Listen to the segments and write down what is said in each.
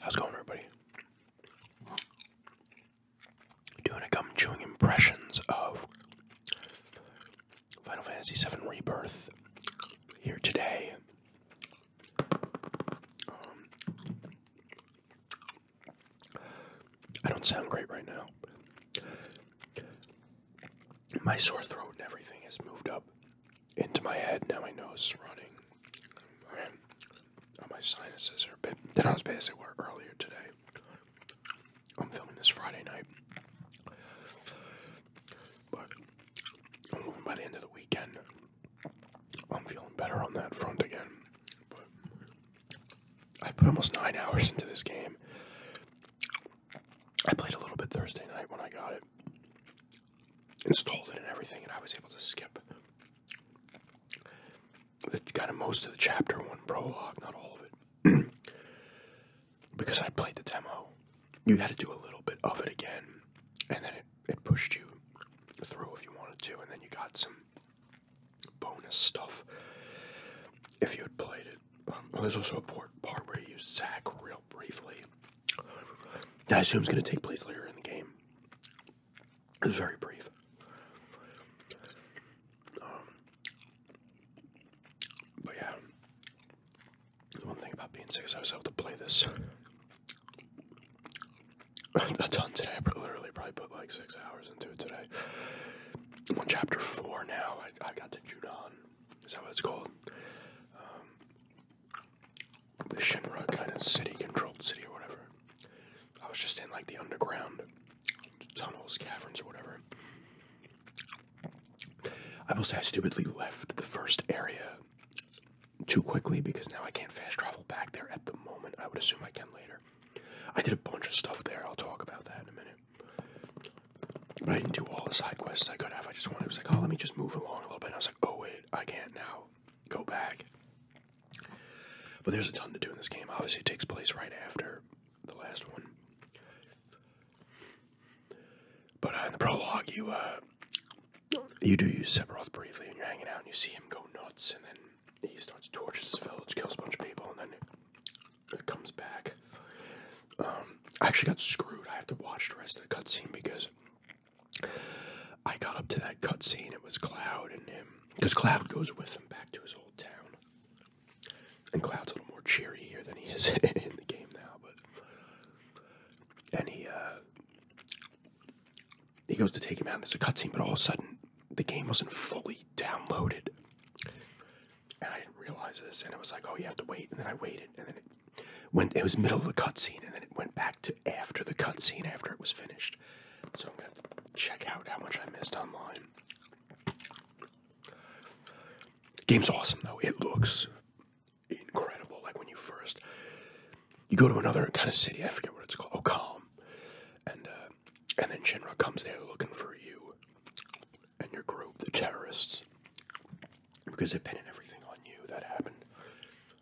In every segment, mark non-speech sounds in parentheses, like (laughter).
How's it going, everybody? Doing a gum chewing impressions of Final Fantasy VII Rebirth here today. Um, I don't sound great right now my sore throat and everything has moved up into my head. Now my nose is running. Uh, my sinuses are a bit. Then I was based at work earlier today. I'm filming this Friday night. But I'm by the end of the weekend, I'm feeling better on that front again. But I put almost nine hours into this game. I played a little bit Thursday night when I got it, installed it and everything, and I was able to skip the, kind of most of the chapter one prologue, not all of it, (clears throat) because I played the demo. You had to do a little bit of it again, and then it, it pushed you through if you wanted to, and then you got some bonus stuff if you had played it. Um, there's also a part, part where you sack real briefly. That I assume is going to take place later in the game. It's very brief. Um, but yeah, the one thing about being sick I was able to play this (laughs) a ton today. I literally probably put like six hours into it today. I'm on chapter four now. I, I got Judan, is that what it's called? Um, the Shinra kind of city, controlled city or whatever. I was just in like the underground tunnels, caverns, or whatever. I will say I stupidly left the first area too quickly because now I can't fast travel back there at the moment. I would assume I can later. I did a bunch of stuff there. I'll talk about that in a minute. But I didn't do all the side quests I could have. I just wanted, it was like, oh, let me just move along a little bit. I was like, oh, wait, I can't now. Go back. But there's a ton to do in this game. Obviously, it takes place right after the last one. But uh, in the prologue, you uh, you do use Sephiroth briefly, and you're hanging out, and you see him go nuts, and then he starts torches his village, kills a bunch of people, and then it comes back. Um, I actually got screwed. I have to watch the rest of the cutscene because I got up to that cutscene. It was Cloud and him. Because Cloud goes with him back to his old town. And Cloud's a little more cheery here than he is (laughs) in the game now. But and he uh, he goes to take him out. And it's a cutscene, but all of a sudden the game wasn't fully downloaded and I didn't realize this, and it was like, oh, you have to wait, and then I waited, and then it went. It was middle of the cutscene, and then it went back to after the cutscene after it was finished. So I'm gonna check out how much I missed online. Game's awesome though. It looks incredible. Like when you first you go to another kind of city, I forget what it's called, Ocalm, and uh, and then Shinra comes there looking for you, and your group, the terrorists, because they're pinning everything on you that happened.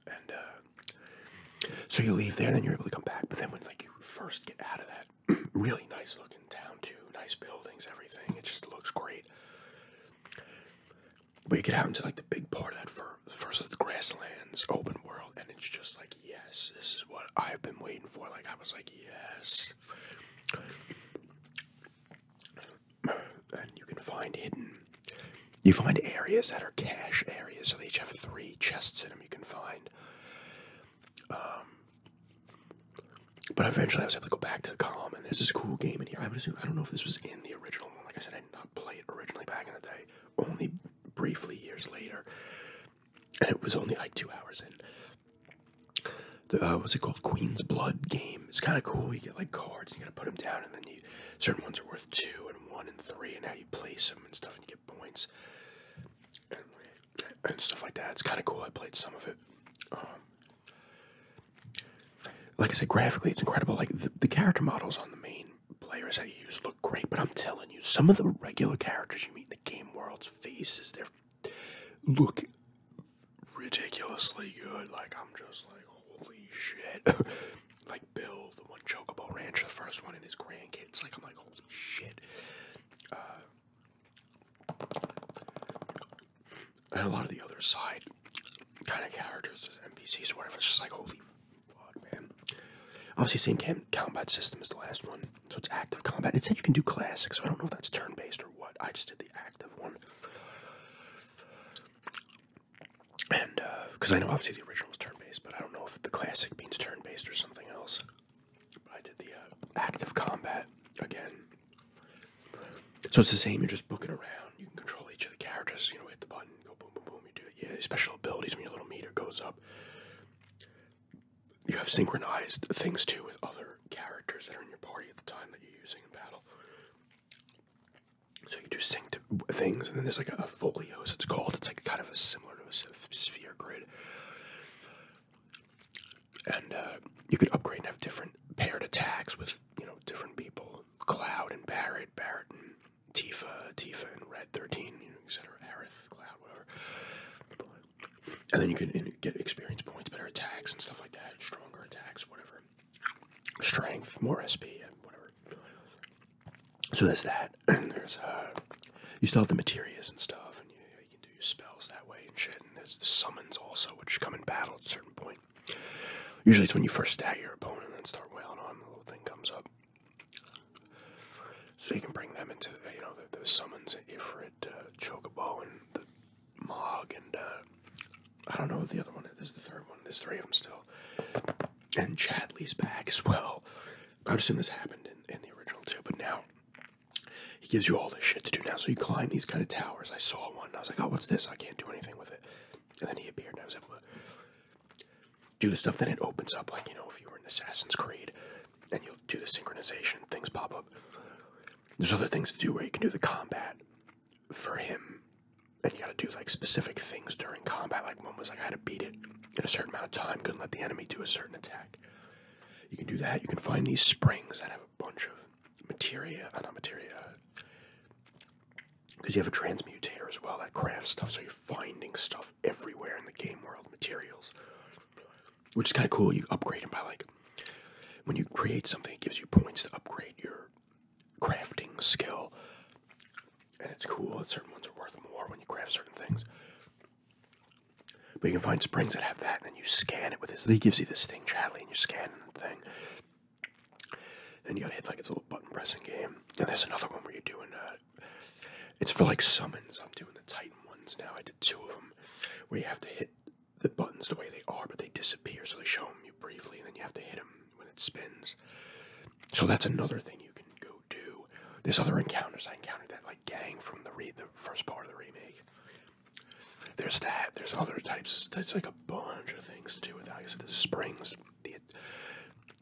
And uh, so you leave there, and then you're able to come back. But then when like you first get out of that (clears throat) really nice looking town too, nice buildings, everything, it just looks great. But you get out into like the big part of that fir first of the grasslands, open world, and it's just like yes, this is what I've been waiting for. Like I was like yes, and you can find hidden. You find areas that are cache areas, so they each have three chests in them you can find. Um, but eventually I was able to go back to the column, and there's this cool game in here. I would assume, I don't know if this was in the original one. Like I said, I did not play it originally back in the day, only briefly years later. And it was only like two hours in the uh, what's it called Queen's Blood game. It's kind of cool. You get like cards, you got to put them down, and then you certain ones are worth two and one and three, and how you place them and stuff, and you get points and, stuff like that. It's kind of cool. I played some of it. Um, like I said, graphically, it's incredible. Like the, character models on the main players that you use look great, but I'm telling you, some of the regular characters you meet in the game world's faces, they're look ridiculously good. Like, I'm just like, holy shit. (laughs) like, Bill, the one Chocobo Ranch, the first one, and his grandkids. Like, I'm like, holy shit. Uh, and a lot of the other side kind of characters as NPCs or whatever. It's just like, holy fuck, man. Obviously, same combat system as the last one. So it's active combat. It said you can do classic, so I don't know if that's turn based or what. I just did the active one. And, because uh, I know obviously the original was turn based, but I don't know if the classic means turn based or something else. But I did the uh, active combat again. So it's the same, you're just booking around. You can control each of the characters, you know, hit the button, go boom, boom, boom, you do it. Yeah, special abilities when your little meter goes up you have synchronized things too with other characters that are in your party at the time that you're using in battle. So you do synced things, and then there's like a, a folios. It's called. It's like kind of a similar to a sphere grid, and uh, you could upgrade and have different paired attacks with you know different people. Cloud and Barrett, Barrett and Tifa, Tifa and Red Thirteen, you know, etc. Aerith, Cloud, whatever. And then you can get experience points, better attacks, and stuff like that, stronger attacks, whatever. Strength, more SP, and whatever. So there's that. (clears throat) there's, uh, you still have the materials and stuff, and you, can do your spells that way and shit. And there's the summons also, which come in battle at a certain point. Usually it's when you first stat your opponent and then start wailing on, the little thing comes up. So you can bring them into the, uh, you know the, summons at Ifrit, uh, and the Mog, and uh, I don't know what the other one is. This the third one. There's three of them still, and Chadley's back as well. i am assuming this happened in the original too, but now he gives you all this shit to do now. So you climb these kind of towers. I saw one. I was like, oh, what's this? I can't do anything with it. And then he appeared, and I was able to do the stuff. Then it opens up like you know if you were in Assassin's Creed and you'll do the synchronization. Things pop up. There's other things to do where you can do the combat for him, and you got to do like specific things during combat. Like one was like I had to beat it in a certain amount of time. Couldn't let the enemy do a certain attack. You can do that. You can find these springs that have a bunch of materia, uh, not materia, because uh, you have a transmutator as well that crafts stuff. So you're finding stuff everywhere in the game world, materials which is kind of cool. You upgrade them by like when you create something, it gives you points to upgrade your crafting skill, and it's cool. that certain ones are worth more when you craft certain things. But you can find springs that have that, and then you scan it with this. He gives you this thing, Chadley, and you scan the thing. and you gotta hit like it's a little button pressing game. And there's another one where you're doing uh, it's for like summons. I'm doing the Titan ones now. I did two of them where you have to hit the buttons the way they are, but they disappear. So they show them you briefly, and then you have to hit them when it spins. So that's another thing you can go do. There's other encounters. I encountered that like gang from the re- the first part of the remake. There's that. There's other types. It's like a bunch of things to do with that. I said, the springs, the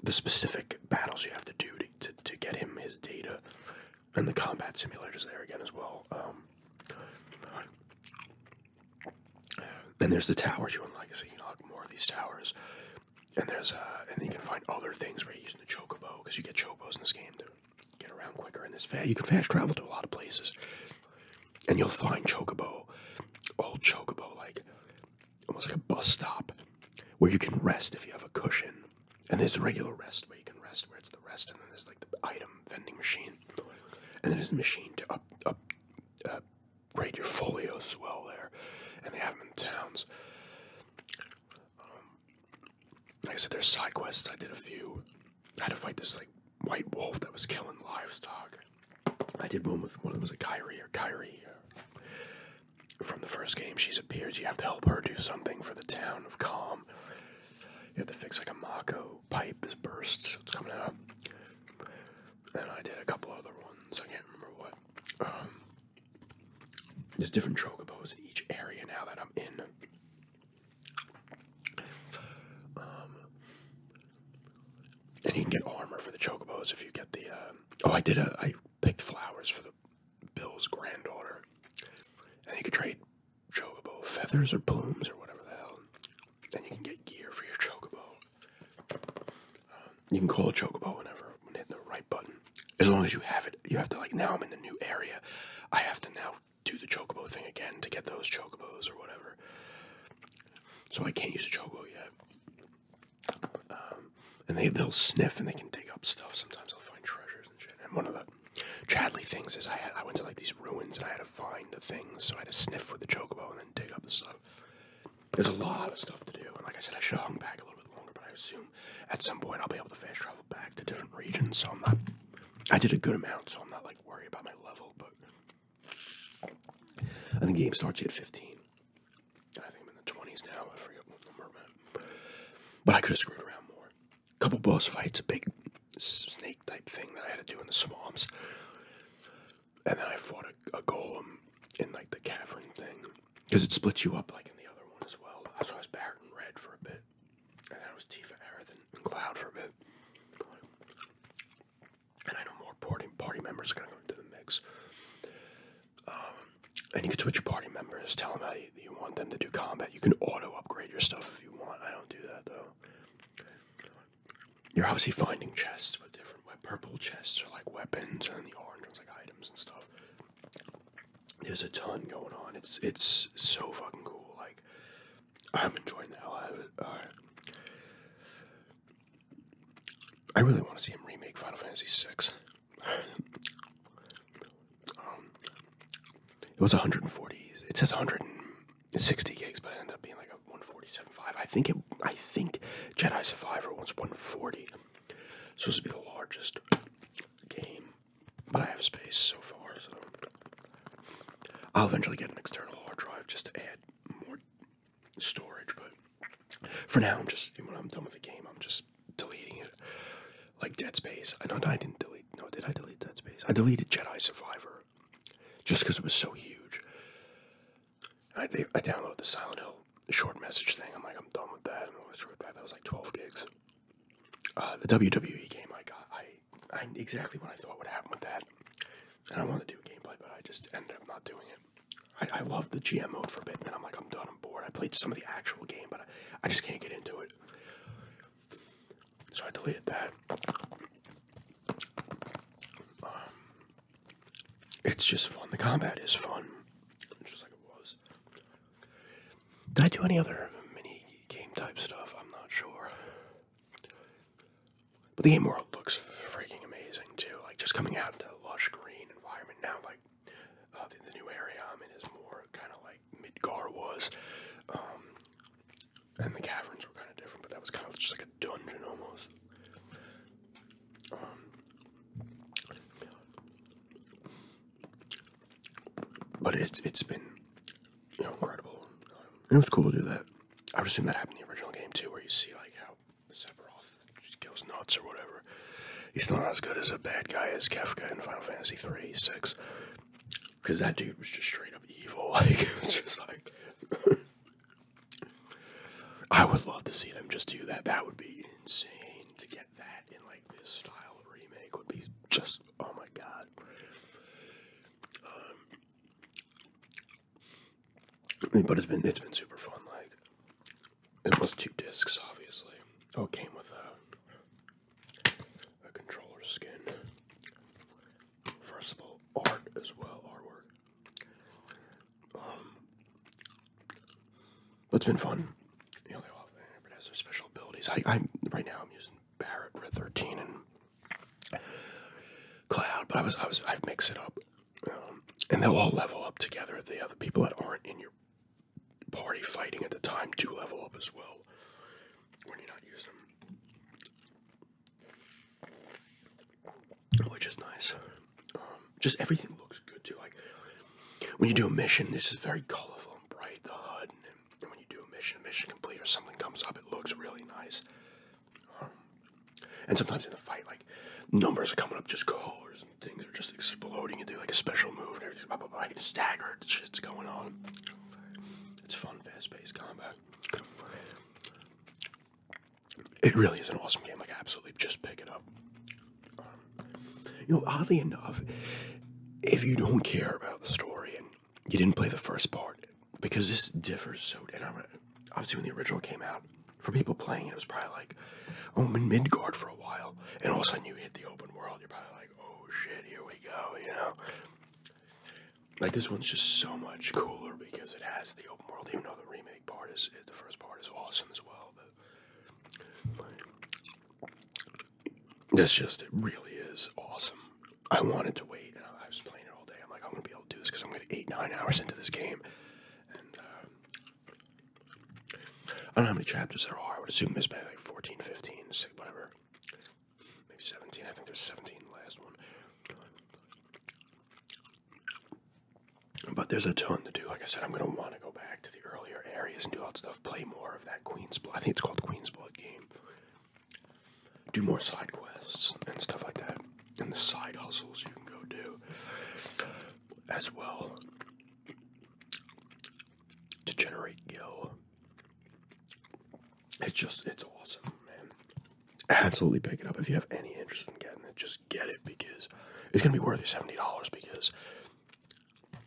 the specific battles you have to do to, to get him his data and the combat simulators there again as well. Um, then there's the towers you unlock. So you can unlock more of these towers. And there's uh, and you can find other things where you're using the chocobo because you get chocobos in this game to get around quicker. And this you can fast travel to a lot of places, and you'll find chocobo, old chocobo, like almost like a bus stop where you can rest if you have a cushion and there's a regular rest where you can rest, where it's the rest, and then there's like the item vending machine, and then there's a machine to up up uh, grade your folios as well there, and they have them in towns. Um, like I said, there's side quests. I did a few. I had to fight this like white wolf that was killing livestock. I did one with one that was a Kyrie or Kyrie. Uh, from the first game she's appeared. You have to help her do something for the town of Calm. You have to fix like a Mako pipe is burst, it's coming out. And I did a couple other ones, I can't remember what. Um, there's different chocobos in each area now that I'm in. Um, and you can get armor for the chocobos if you get the. Uh, oh, I did a. I picked flowers for the Bill's granddaughter. And you can trade chocobo feathers or plumes or whatever the hell. Then you can get gear for your chocobo. Um, you can call a chocobo whenever, when hitting the right button. As long as you have it, you have to, like, now I'm in a new area. I have to now do the chocobo thing again to get those chocobos or whatever. So I can't use a chocobo yet. Um, and they they'll sniff and they can dig up stuff. Sometimes they'll find treasures and shit. And one of the Chadley things is I I went to like these ruins and I had to find the things, so I had to sniff with the chocobo and then dig up the stuff. There's a lot of stuff to do, and like I said, I should have hung back a little bit longer, but I assume at some point I'll be able to fast travel back to different regions, so I'm not. I did a good amount, so I'm not like worried about my level, but I think the game starts at 15. I think I'm in the 20s now. I forget what number But I could have screwed around more. A couple boss fights, a big snake type thing that I had to do in the swamps. And then I fought a, golem in like the cavern thing. Because it splits you up like in the other one as well. That's why I was Barrett and Red for a bit. And then I was Tifa, Aerith, and Cloud for a bit. And I know more party, party members are going to go into the mix. Um, and you can switch your party members. Tell them how you, want them to do combat. You can auto upgrade your stuff if you want. I don't do that though. You're obviously finding chests with different purple chests are like weapons, and the orange ones like items and stuff. There's a ton going on. It's it's so fucking cool. Like I'm enjoying the hell out of it. I really want to see him remake Final Fantasy VI it was 140. It says 160 gigs, but it ended up being like 147.5. I think it. I think Jedi Survivor was 140. supposed to be the largest game, but I have space so far, so I'll eventually get an external hard drive just to add more storage. But for now, I'm just when I'm done with the game, I'm just deleting it. Like Dead Space. I know I didn't delete. No, did I delete Dead Space? I deleted Jedi Survivor just because it was so huge. I, I downloaded the Silent Hill short message thing. I'm like, I'm done with that. I'm screw with that. That was like 12 gigs. Uh, the WWE game I got, I, I exactly what I thought would happen with that. And I want to do a gameplay, but I just ended up not doing it. I, I love the GM mode for Bitman. I'm like, I'm done. I'm bored. I played some of the actual game, but I, just can't get into it. So I deleted that. Um, it's just fun. The combat is fun, just like it was. Did I do any other mini game type stuff? I'm not sure. But the game world looks freaking amazing too. Like just coming out into the lush green environment now, like uh, the, new area I'm in is more kind of like Midgar was. Um, and the caverns were kind of different, but that was kind of just like a dungeon almost. Um, but it's it's been you know incredible. Um, it was cool to do that. I would assume that happened in the original game too, where you see like how Sephiroth goes nuts or whatever. He's not as good as a bad guy as Kefka in Final Fantasy three six, because that dude was just straight up evil. (laughs) Like it was just like. (laughs) I would love to see them just do that. That would be insane to get that in like this style of remake would be just oh my god. Um, but it's been it's been super fun. Like it was two discs, obviously. Oh, came with a, a controller skin. First of all, art as well, artwork. Um, but it's been fun. You know, they all their special abilities. I, I'm right now. I'm using Barrett Red 13 and Cloud, but I was I was I mix it up, um, and they'll all level up together. The other people that aren't in your party fighting at the time to level up as well when you're not using them, which is nice. Um, just everything looks good too. Like when you do a mission, this is very colorful and bright. The HUD, and, when you do a mission, mission complete or something comes up, it looks really nice. Um, and sometimes in the fight, like numbers are coming up, just colors things are just exploding. You do like a special move and everything. Blah, blah, blah. You staggered. Shit's going on. It's fun, fast paced combat. It really is an awesome game. Like, absolutely just pick it up. Um, you know, oddly enough, if you don't care about the story and you didn't play the first part, because this differs so, and I'm, obviously when the original came out, for people playing it, it was probably like, oh, I'm in Midgard for a while, and all of a sudden you hit the open world. You're probably like, oh shit, here we go, you know. Like this one's just so much cooler because it has the open world. Even though the remake part is, the first part is awesome as well, but this just it really is awesome. I wanted to wait, and I was playing it all day. I'm like, I'm gonna be able to do this because I'm gonna eight nine hours into this game, uh, I don't know how many chapters there are. I would assume there's maybe like 14, 15, 6, whatever. Maybe 17. I think there's 17 the last one. But there's a ton to do. Like I said, I'm going to want to go back to the earlier areas and do all that stuff. Play more of that Queen's Blood. I think it's called Queen's Blood game. Do more side quests and stuff like that. And the side hustles you can go do as well to generate yo. It's just it's awesome, man. Absolutely pick it up if you have any interest in getting it. Just get it because it's gonna be worth your seventy dollars because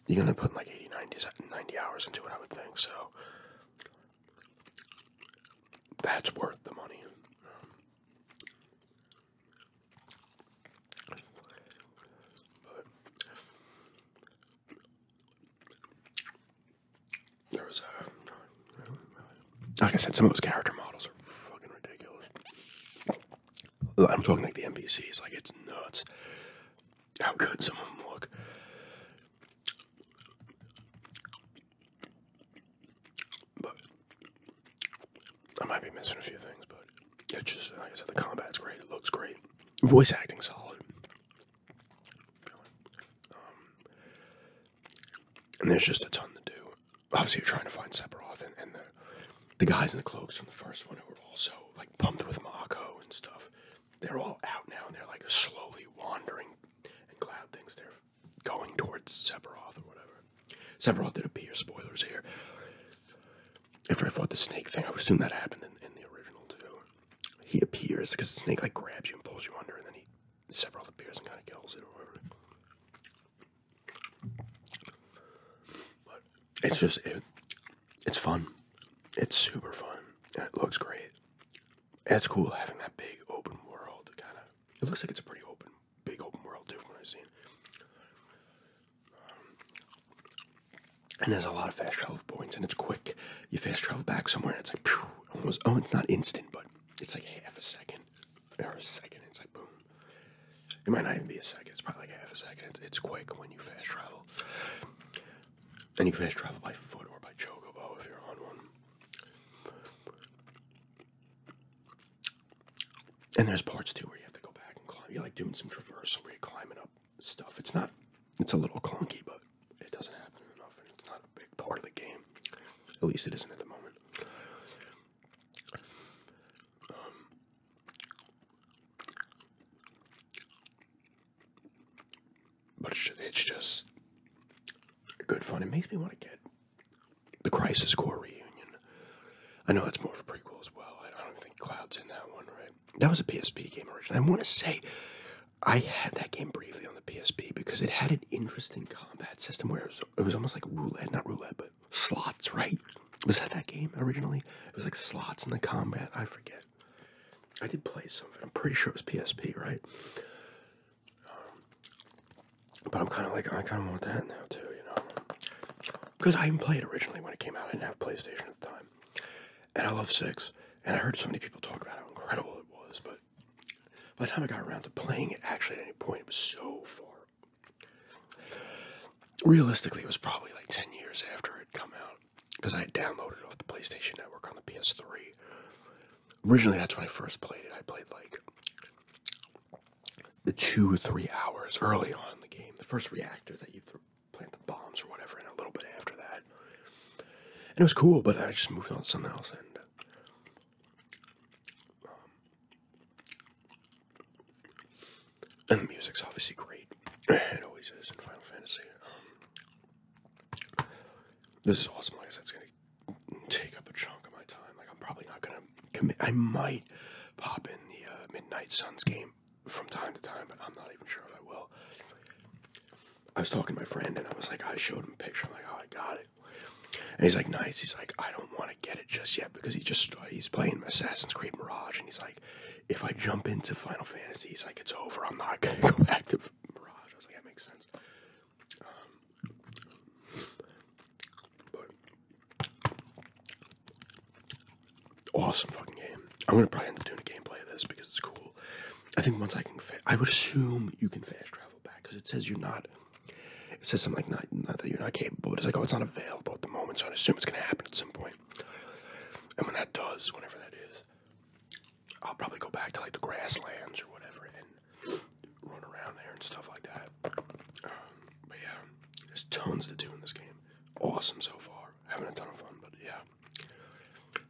you're gonna put like 80, 90, 90 hours into it, I would think. So that's worth the money there was a, like I said, some of those character models are fucking ridiculous. I'm talking like the NPCs, like it's nuts how good some of them look. But I might be missing a few things, but it's just like I said, the combat's great. It looks great. Voice acting solid. Um, and there's just a ton to do. Obviously, you're trying to find Sephiroth and, the the guys in the cloaks from the first one who were also like pumped with Mako and stuff. They're all out now, and they're like slowly wandering. And Cloud things. they're going towards Sephiroth or whatever. Several did appear, spoilers here. After I fought the snake thing, I assume that happened in, the original too. He appears because the snake like grabs you and pulls you under, and then he Sephiroth appears and kind of kills it or whatever. But it's just it, it's fun. It's super fun, and it looks great. It's cool having that big open world kind of. It looks like it's a pretty open big open world too from what I've seen. Um, and there's a lot of fast travel points, and it's quick. You fast travel back somewhere, and it's like, almost. Oh, it's not instant, but it's like half a second or a second. It's like boom. It might not even be a second. It's probably like half a second. It's, it's quick when you fast travel, and you fast travel by foot or by chocobo oh, if you're on one. And there's parts too where you have to go back and climb. You're like doing some traversal where you're climbing up stuff. It's not, it's a little clunky, but it doesn't happen enough and it's not a big part of the game. At least it isn't at the moment. Um, but it's just good fun. It makes me want to get the Crisis Core reunion. I know that's more of a prequel as well. I don't think Cloud's in that one, right? That was a PSP game originally. I want to say I had that game briefly on the PSP because it had an interesting combat system where it was, almost like roulette, not roulette, but slots, right? Was that that game originally? It was like slots in the combat. I forget. I did play something. I'm pretty sure it was PSP, right? Um, but I'm kind of like I kind of want that now too, you know, because I didn't play it originally when it came out. I didn't have PlayStation at the time, and I love six. And I heard so many people talk about how incredible it was, but by the time I got around to playing it, actually at any point, it was so far. Realistically, it was probably like ten years after it come out because I downloaded it off the PlayStation Network on the PS3. Originally, that's when I first played it. I played like the two or three hours early on the game, the first reactor that you plant the bombs or whatever, and a little bit after that, and it was cool. But I just moved on to something else, and um, the music's obviously great. It always is in Final Fantasy. Um, this is awesome. Like I said, it's gonna take up a chunk of my time. Like I'm probably not gonna I might pop in the uh, Midnight Suns game from time to time, but I'm not even sure if I will. I was talking to my friend, and I was like, I showed him a picture. I'm like, oh, I got it. And he's like, nice. He's like, I don't want to get it just yet because he just he's playing Assassin's Creed Mirage, and he's like, if I jump into Final Fantasy, he's like, it's over. I'm not gonna (laughs) go back to Mirage. I was like, that makes sense. Um, awesome fucking game. I'm gonna probably end up doing a gameplay of this because it's cool. I think once I can, I would assume you can fast travel back because it says you're not. It says something like not, not that you're not capable, but it's like oh, it's not available at the moment, so I assume it's gonna happen at some point. And when that does, whenever that is, I'll probably go back to like the grasslands or whatever run around there and stuff like that. Um, but yeah, there's tons to do in this game. Awesome so far. Having a ton of fun, but yeah.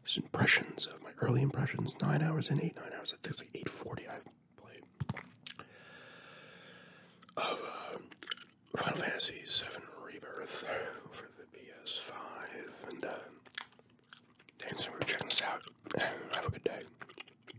Just impressions of my early impressions. Nine hours and eight, nine hours. I think it's like 840 I played. Of um, Final Fantasy VII Rebirth for the PS5. And uh, thanks for checking this out. (laughs) Have a good day.